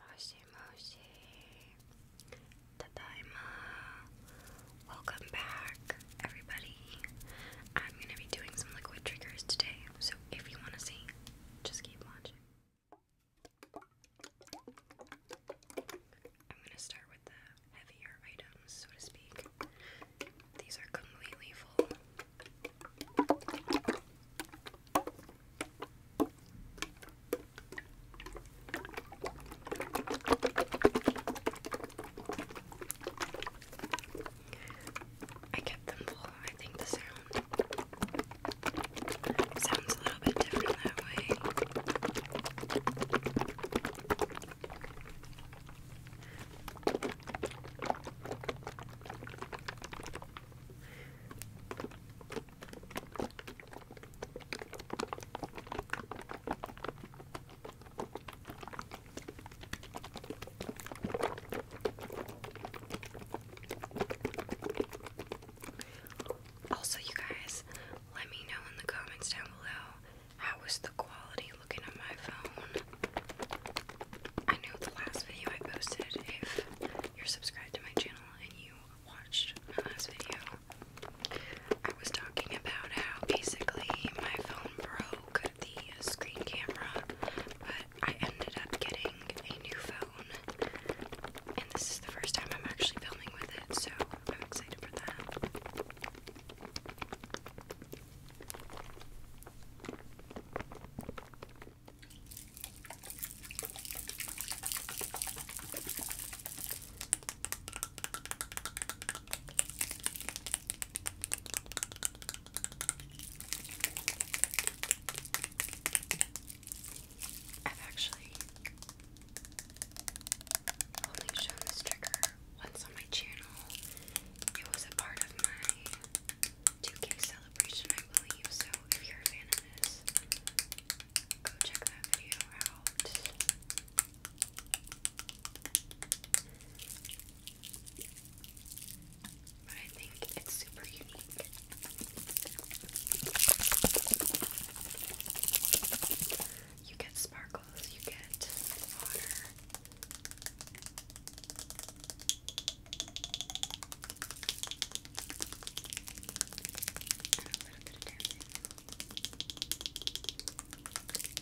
Moshi Moshi. Tadaima. Welcome back, everybody. I'm gonna be doing some liquid triggers today, so if you wanna see, just keep watching. I'm going to start with the heavier items, so to speak. These are completely full. I kept them full. I think the sound sounds a little bit different that way. Also, you guys, let me know in the comments down below how was the quality looking on my phone. I know the last video I posted, if you're subscribed to my channel and you watched my last video, I was talking about how basically my phone broke the screen camera, but I ended up getting a new phone, and this is the first time I'm actually filming with it, so I'm excited for that. I've actually only shown this trigger once on my channel. It was a part of my 2K celebration, I believe. So if you're a fan of this, go check that video out. But I think it's super unique. You get sparkles, you get water. And a little bit of dancing.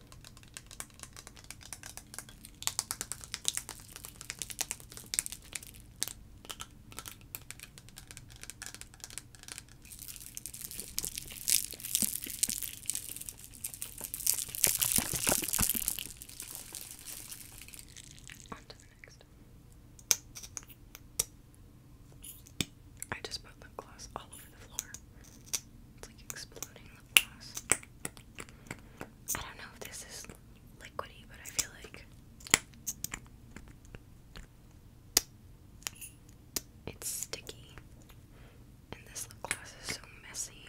On to the next. I just put lip gloss all over the floor. It's like exploding lip gloss. I don't know if this is liquidy, but I feel like it's sticky. And this lip gloss is so messy.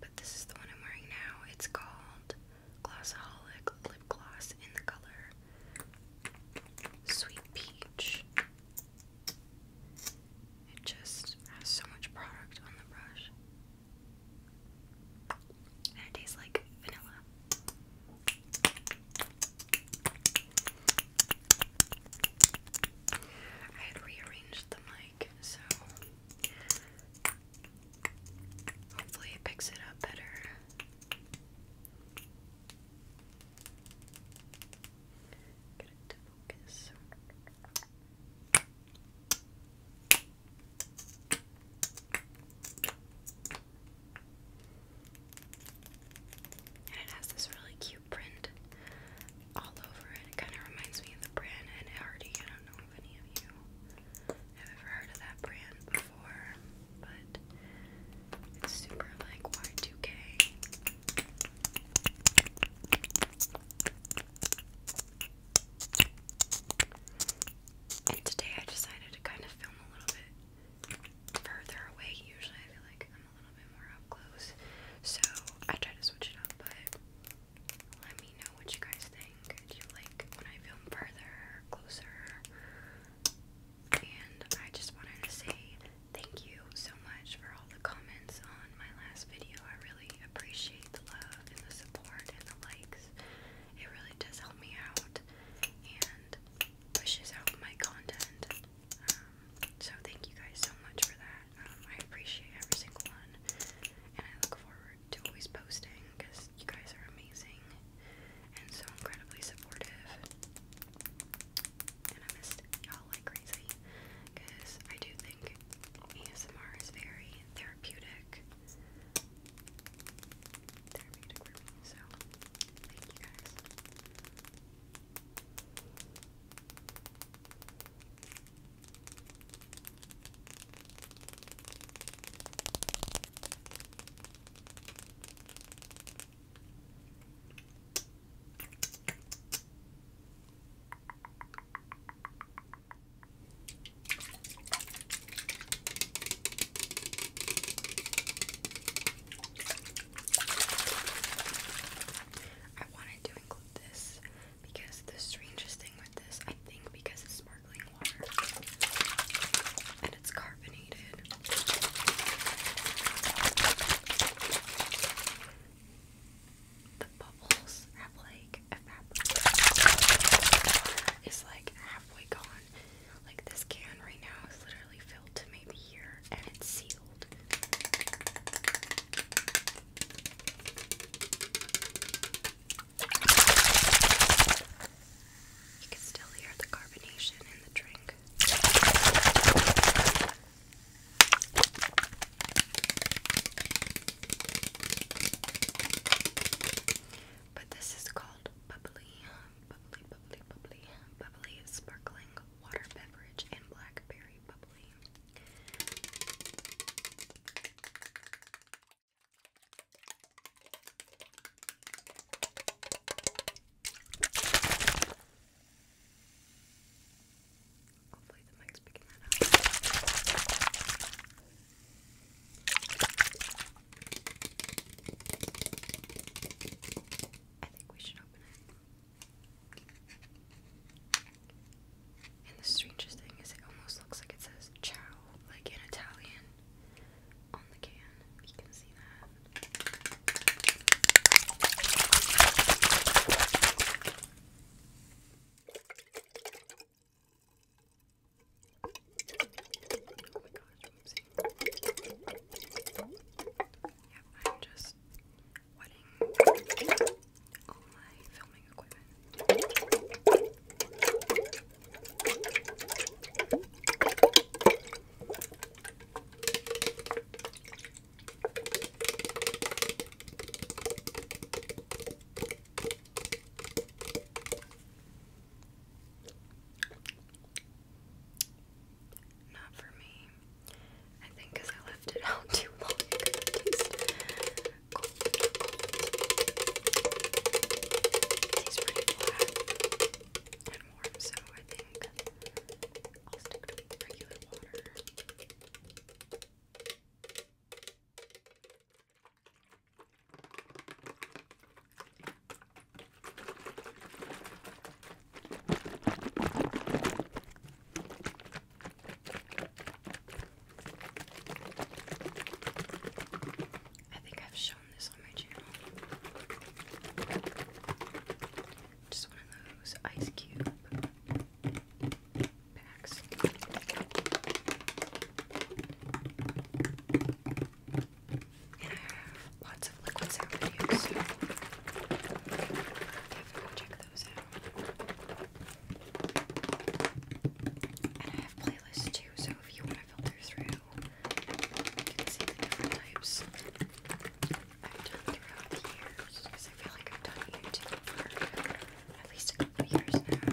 But this is the one I'm wearing now. It's called Glossaholic Lip Gloss in the color Sweet Peach. It just has so much product on the brush. And it tastes like vanilla. I had rearranged the mic, so hopefully it picks it up better. And it has this really cute print all over it. It kind of reminds me of the brand Hardy. I don't know if any of you have ever heard of that brand before, but it's super like Y2K today I decided to kind of film a little bit further away. Usually I feel like I'm a little bit more up close. So I try to switch it up, but let me know what you guys think. Do you like when I film further, closer? And I just wanted to say thank you so much for all the comments on my last video. I really appreciate the love and the support and the likes. It really does help me out and pushes out my content. Um, so thank you guys so much for that. Um, I appreciate every single one. And I look forward to always posting because you guys are amazing and so incredibly supportive and I missed y'all like crazy because I do think ASMR is very therapeutic. Therapeutic for me, so thank you guys. I wanted to include this because the strangest thing with this, I think, because it's sparkling water, it's carbonated. The bubbles have like evaporated. It's like halfway gone. Like this can right now is literally filled to maybe here and it's sealed. You can still hear the carbonation in the drink. But this is called bubbly, bubbly, bubbly, bubbly, bubbly sparkling water beverage and blackberry bubbly. Hopefully the mic's picking that up. I think we should open it. And the strangest thing is, it almost looks like it says ciao, like in Italian on the can. You can see that. Oh my gosh, whoopsie. Yep, I'm just wetting all my filming equipment. Not for me. I think because I left it out too long. It could taste cold, cold. He's pretty flat and warm, so I think I'll stick to regular water. I think I've shown this on my channel. Just one of those ice cube packs. And I have lots of liquid sound videos, definitely check those out. And I have playlists too, so if you want to filter through. different types I've done throughout the years. Because I feel like I've done YouTube for at least a couple years now.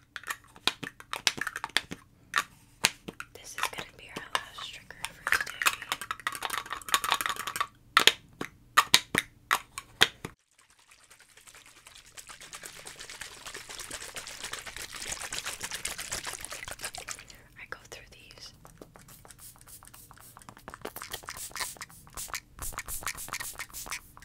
This is going to be our last trigger for today. I go through these.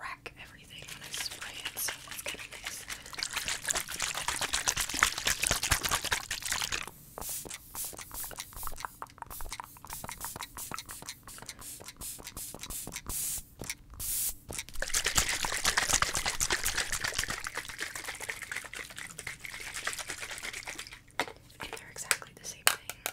rack everything when I spray it, so that's kind of nice. And they're exactly the same thing.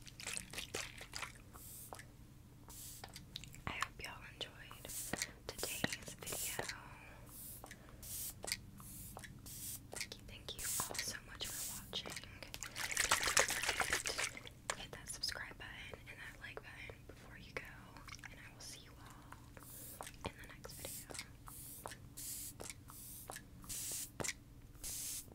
I hope y'all enjoyed today's video. Thank you, all so much for watching. Hit that subscribe button and that like button before you go, and I will see you all in the next video.